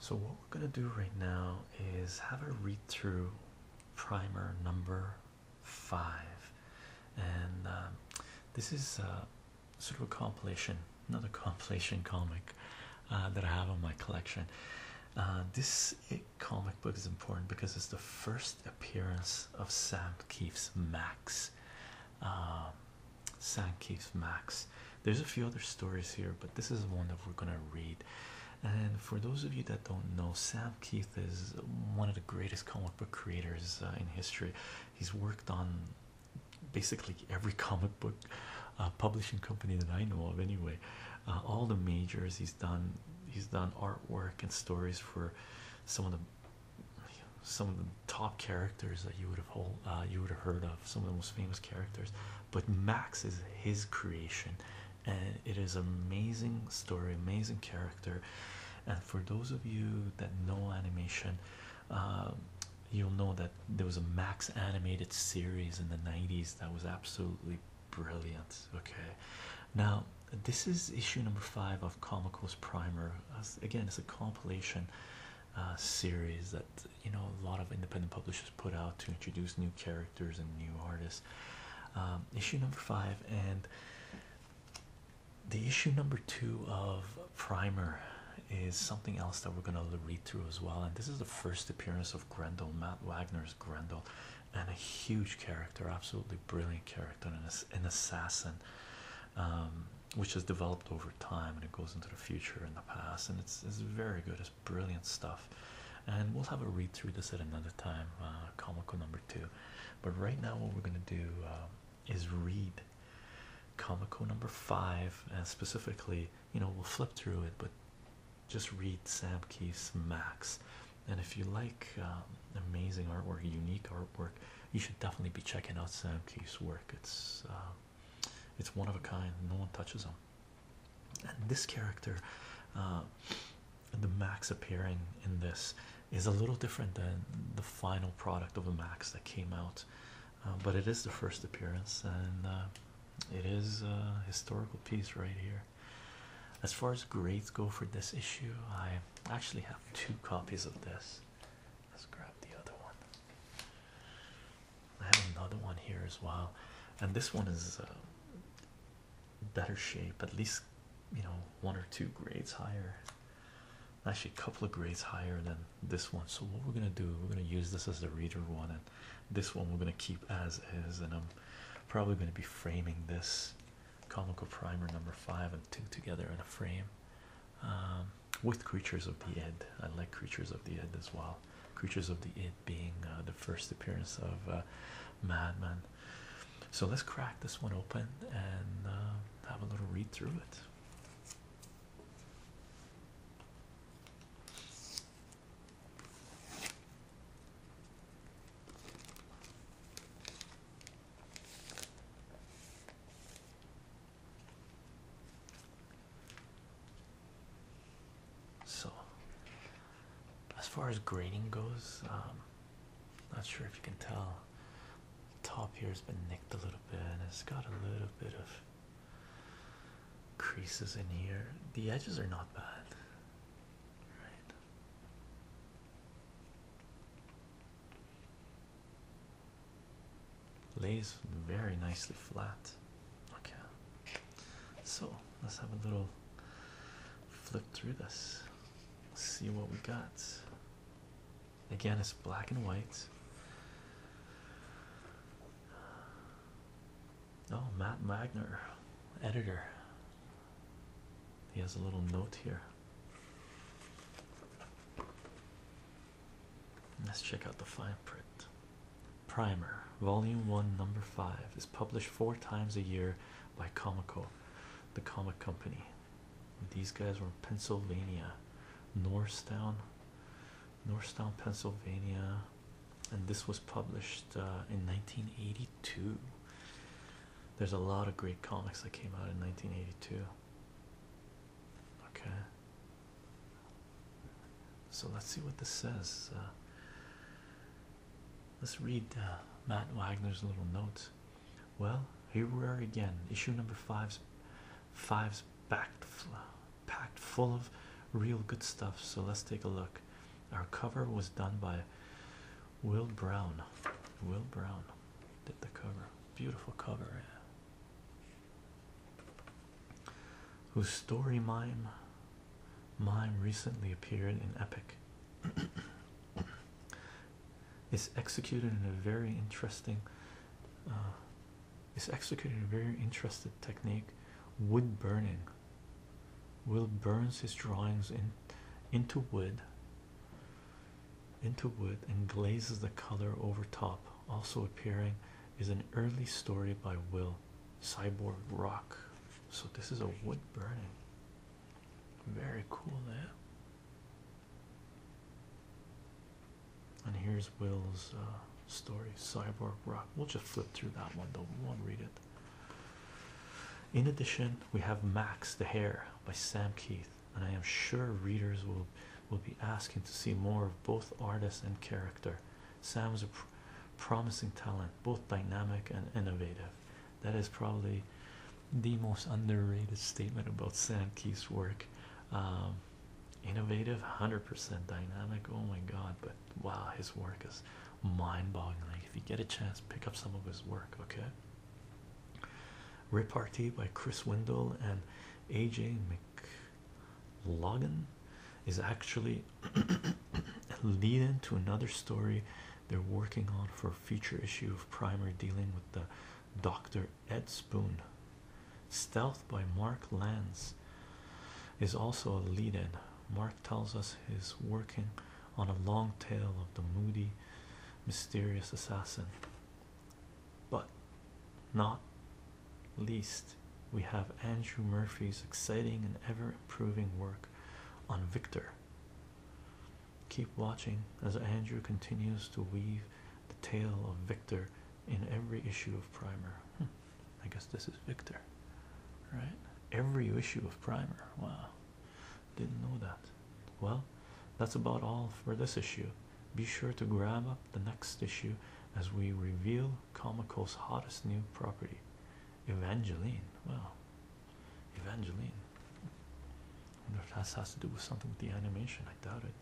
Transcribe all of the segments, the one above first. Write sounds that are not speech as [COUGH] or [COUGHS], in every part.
So, what we're going to do right now is have a read through primer number five, and um, this is uh, sort of a compilation, another [LAUGHS] compilation comic uh, that I have on my collection. Uh, this eh, comic book is important because it's the first appearance of Sam Keith's Max. Um, Sam Sandcase Max. There's a few other stories here, but this is one that we're gonna read. And for those of you that don't know, Sam Keith is one of the greatest comic book creators uh, in history. He's worked on basically every [LAUGHS] comic book uh, publishing company that I know of, anyway. Uh, all the majors he's done, he's done artwork and stories for some of the some of the top characters that uh, you would have heard of some of the most famous characters but max is his creation and it is an amazing story amazing character and for those of you that know animation um, you'll know that there was a max animated series in the 90s that was absolutely brilliant okay now this is issue number five of comicos primer again it's a compilation uh, series that you know a lot of independent publishers put out to introduce new characters and new artists. Um, issue number five and the issue number two of Primer is something else that we're going to read through as well. And this is the first appearance of Grendel, Matt Wagner's Grendel, and a huge character, absolutely brilliant character, and an assassin um, which has developed over time and it goes into the future and the past. And it's, it's very good, it's brilliant stuff. And we'll have a read through this at another time, uh, comical number two. But right now, what we're going to do uh, is read comical number five, and specifically, you know, we'll flip through it, but just read Sam Keith's Max. And if you like um, amazing artwork, unique artwork, you should definitely be checking out Sam Keefe's work. It's um, it's one of a kind. No one touches them. And this character, uh, the Max appearing in this, is a little different than the final product of a Max that came out, uh, but it is the first appearance and. Uh, it is a historical piece right here. As far as grades go for this issue, I actually have two copies of this. Let's grab the other one. I have another one here as well, and this one is uh, better shape, at least you know, one or two grades higher. Actually, a couple of grades higher than this one. So, what we're gonna do, we're gonna use this as the reader one, and this one we're gonna keep as is. And I'm probably gonna be framing this comical primer number five and two together in a frame. Um, with creatures of the ed, i like creatures of the ed as well creatures of the ed being uh, the first appearance of uh, madman so let's crack this one open and uh, have a little read through it so, as far as grading goes, um, not sure if you can tell. top here has been nicked a little bit, and it's got a little bit of creases in here. The edges are not bad, right? Lays very nicely flat. Okay, so let's have a little flip through this, see what we got. Again, it's black and white. Oh, Matt Magner, editor. He has a little note here. Let's check out the fine print. Primer, Volume 1, Number 5, is published four times a year by Comico, the comic company. These guys were in Pennsylvania, Norristown, Norristown, Pennsylvania, and this was published uh, in 1982. There's a lot of great comics that came out in 1982. Okay. So let's see what this says. Uh, let's read uh, Matt Wagner's little notes. Well, here we are again. Issue number five's five's packed packed full of real good stuff. So let's take a look. Our cover was done by Will Brown. Will Brown did the cover. Beautiful cover, Whose story mime mime recently appeared in Epic. [COUGHS] is executed in a very interesting uh, executed in a very interesting technique wood burning will burns his drawings in into wood into wood and glazes the color over top. Also appearing is an early story by Will Cyborg Rock. So this is a wood burning. Very cool there. Eh? And here's Will's uh, story, Cyborg Rock. We'll just flip through that one Don't want to read it. In addition, we have Max the Hare by Sam Keith, and I am sure readers will will be asking to see more of both artist and character. Sam is a promising talent, both dynamic and innovative. That is probably the most underrated statement about Sam Keith's work. Um, innovative, hundred percent dynamic. Oh my God! But wow, his work is mind-boggling. If you get a chance, pick up some of his work. Okay. Repartee by Chris Wendell and AJ McLaughlin is actually a [COUGHS] lead in to another story they're working on for a feature issue of Primer dealing with the Dr. Ed Spoon. Stealth by Mark Lanz is also a lead in. Mark tells us he's working on a long tale of the moody, mysterious assassin. But not least, we have Andrew Murphy's exciting and ever improving work on Victor. Keep watching as Andrew continues to weave the tale of Victor in every issue of Primer. Hmm, I guess this is Victor, right? Every issue of Primer. Wow. Didn't know that. Well, that's about all for this issue. Be sure to grab up the next issue as we reveal Comico's hottest new property, Evangeline. Well, Evangeline. I wonder if that has to do with something with the animation. I doubt it.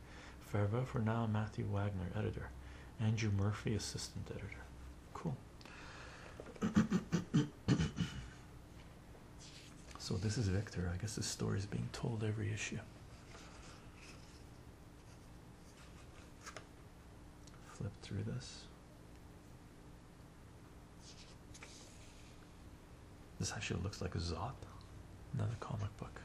Farewell for now, Matthew Wagner, editor. Andrew Murphy, assistant editor. Cool. So this is Victor. I guess this story is being told every issue. Flip through this. This actually looks like a Zop, another comic book.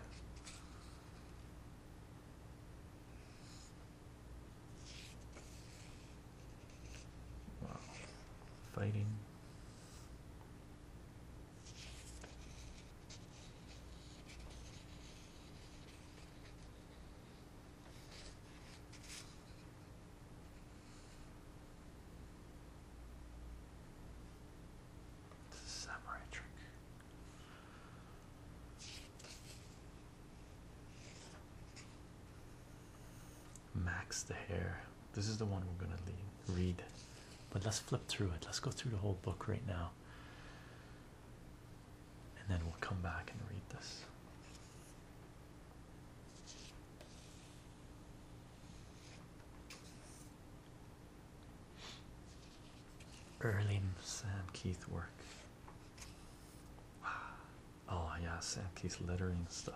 Wow. Fighting. Samurai trick. Max the Hair. This is the one we're going to read. But let's flip through it. Let's go through the whole book right now. And then we'll come back and read this. Early Sam Keith work. Wow. Oh yeah, Sankey's lettering stuff.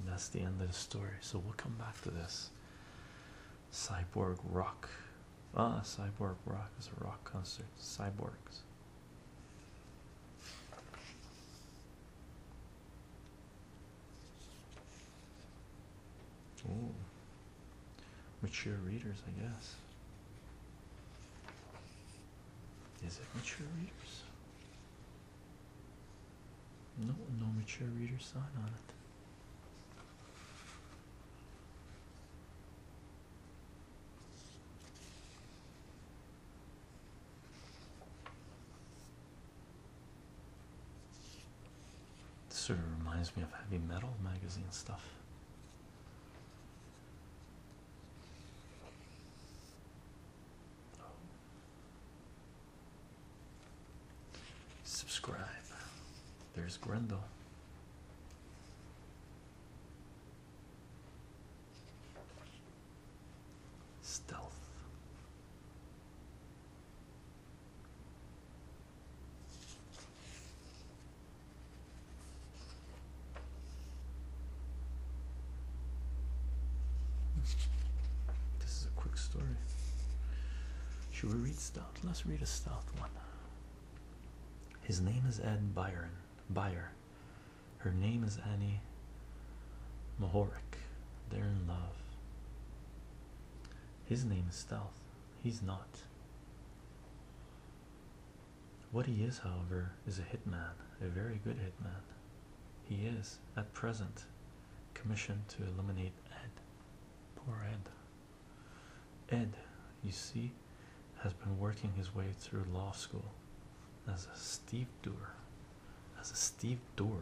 And that's the end of the story. So we'll come back to this. Cyborg rock. Ah, cyborg rock is a rock concert. Cyborgs mature readers, I guess. Is it mature readers? No, no mature reader sign on it. This sort of reminds me of heavy metal magazine stuff. Subscribe. There's Grendel. Stealth. This is a quick story. Should we read stealth? Let's read a stealth one. His name is Ed Byron. Byer. Her name is Annie Mohoric, They're in love. His name is Stealth. He's not. What he is, however, is a hitman, a very good hitman. He is, at present, commissioned to eliminate Ed. Poor Ed. Ed, you see, has been working his way through law school as a stevedore as a Steve Door.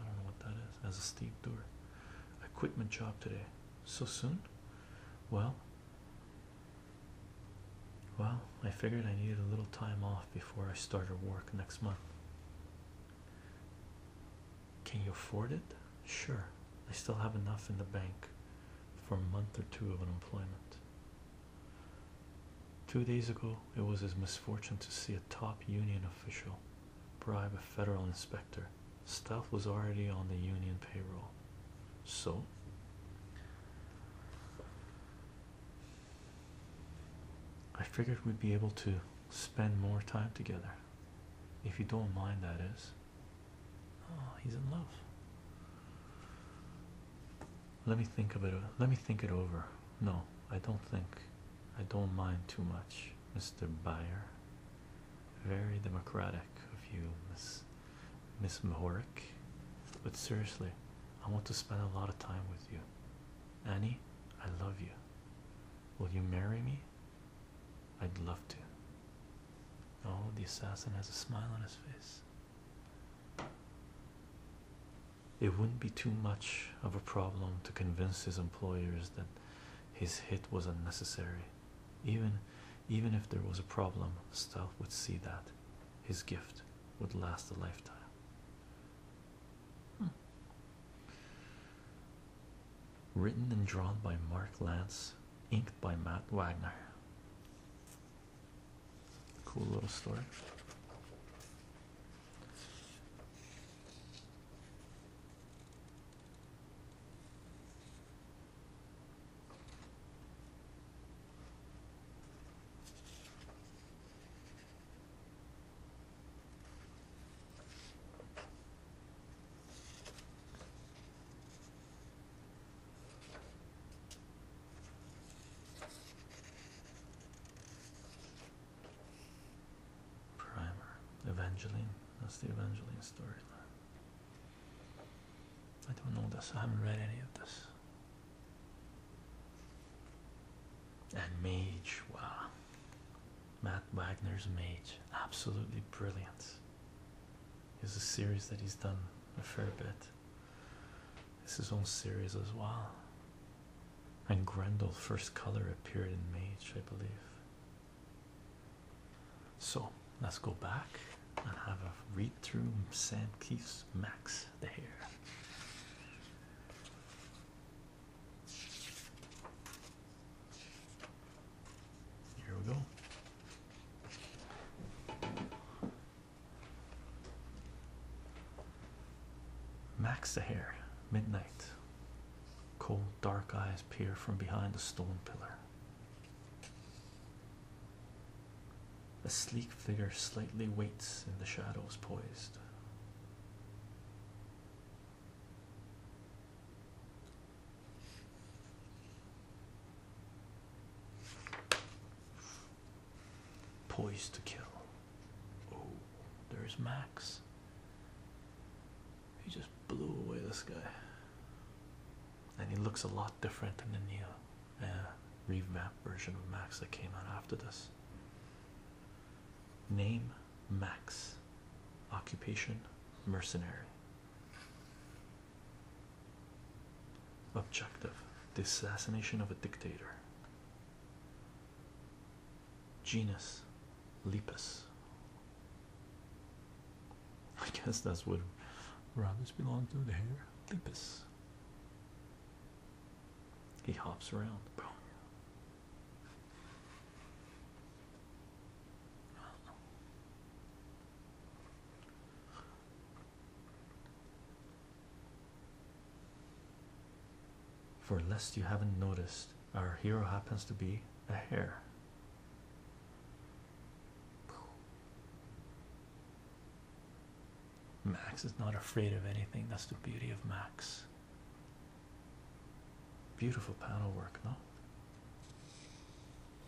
I don't know what that is. As a Steve Door. equipment job today. So soon? Well, well, I figured I needed a little time off before I started work next month. Can you afford it? Sure. I still have enough in the bank for a month or two of unemployment. Two days ago, it was his misfortune to see a top union official bribe a federal inspector. Stuff was already on the union payroll. So, I figured we'd be able to spend more time together. If you don't mind, that is. Oh, he's in love let me think of it let me think it over no i don't think i don't mind too much mr buyer very democratic of you miss miss mahoric but seriously i want to spend a lot of time with you annie i love you will you marry me i'd love to oh the assassin has a smile on his face it wouldn't be too much of a problem to convince his employers that his hit was unnecessary. Even even if there was a problem, Stealth would see that his gift would last a lifetime. Written and drawn by Mark Lance, inked by Matt Wagner. Cool little story. Primer, Evangeline. That's the Evangeline storyline. I don't know this. I haven't read any of this. And Mage. Wow. Matt Wagner's Mage. Absolutely brilliant. Is a series that he's done a fair bit. This is own series as well. And Grendel first color appeared in Mage, I believe. So let's go back and have a read through Sam Keith's Max the Hair. Here we go. Max Sahar, midnight. Cold, dark eyes peer from behind the stone pillar. A sleek figure slightly waits in the shadows, poised. Poised to kill. Oh, there's Max. He just blew away this guy. And he looks a lot different than the Neo uh, revamp version of Max that came out after this. Name Max. Occupation Mercenary. Objective The assassination of a dictator. Genus Lepus. I guess that's what rabbits belong to. The hair Lepus. He hops around. Boom. For lest you haven't noticed, our hero happens to be a hare. Max is not afraid of anything. That's the beauty of Max. Beautiful panel work, no?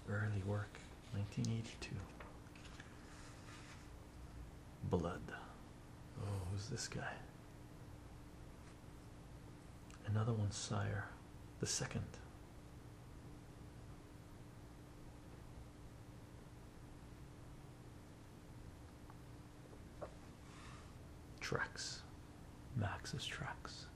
Early work, 1982. Blood. Oh, who's this guy? Another one, Sire. The second. Tracks. Max's tracks.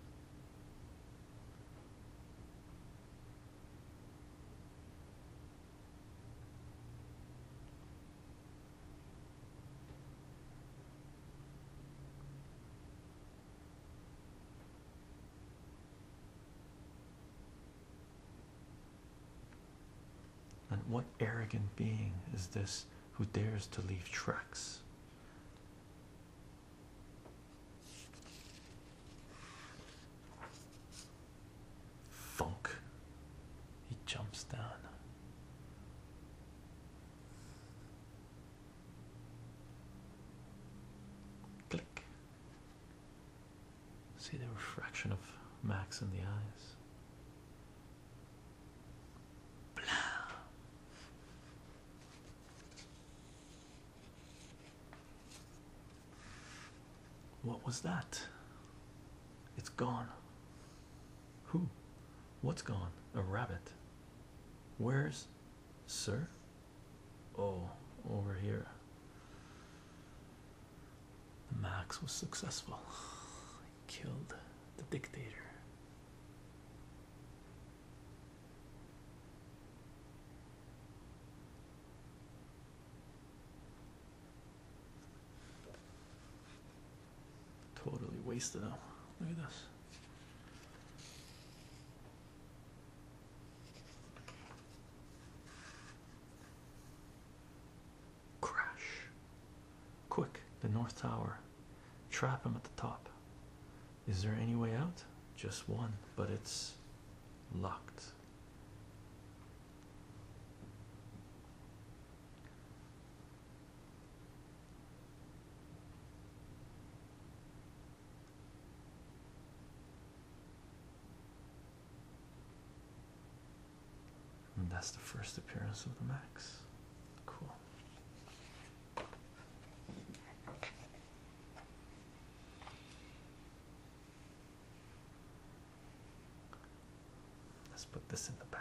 And what arrogant being is this who dares to leave tracks? Funk. He jumps down. Click. See the refraction of Max in the eyes. Blah. What was that? It's gone. Who? What's gone? A rabbit. Where's sir? Oh, over here. Max was successful. He killed the dictator. Totally wasted them. Look at this. Crash. Quick, the North Tower. Trap him at the top. Is there any way out? Just one, but it's locked. that's the first appearance of the Max. Cool. Let's put this in the back.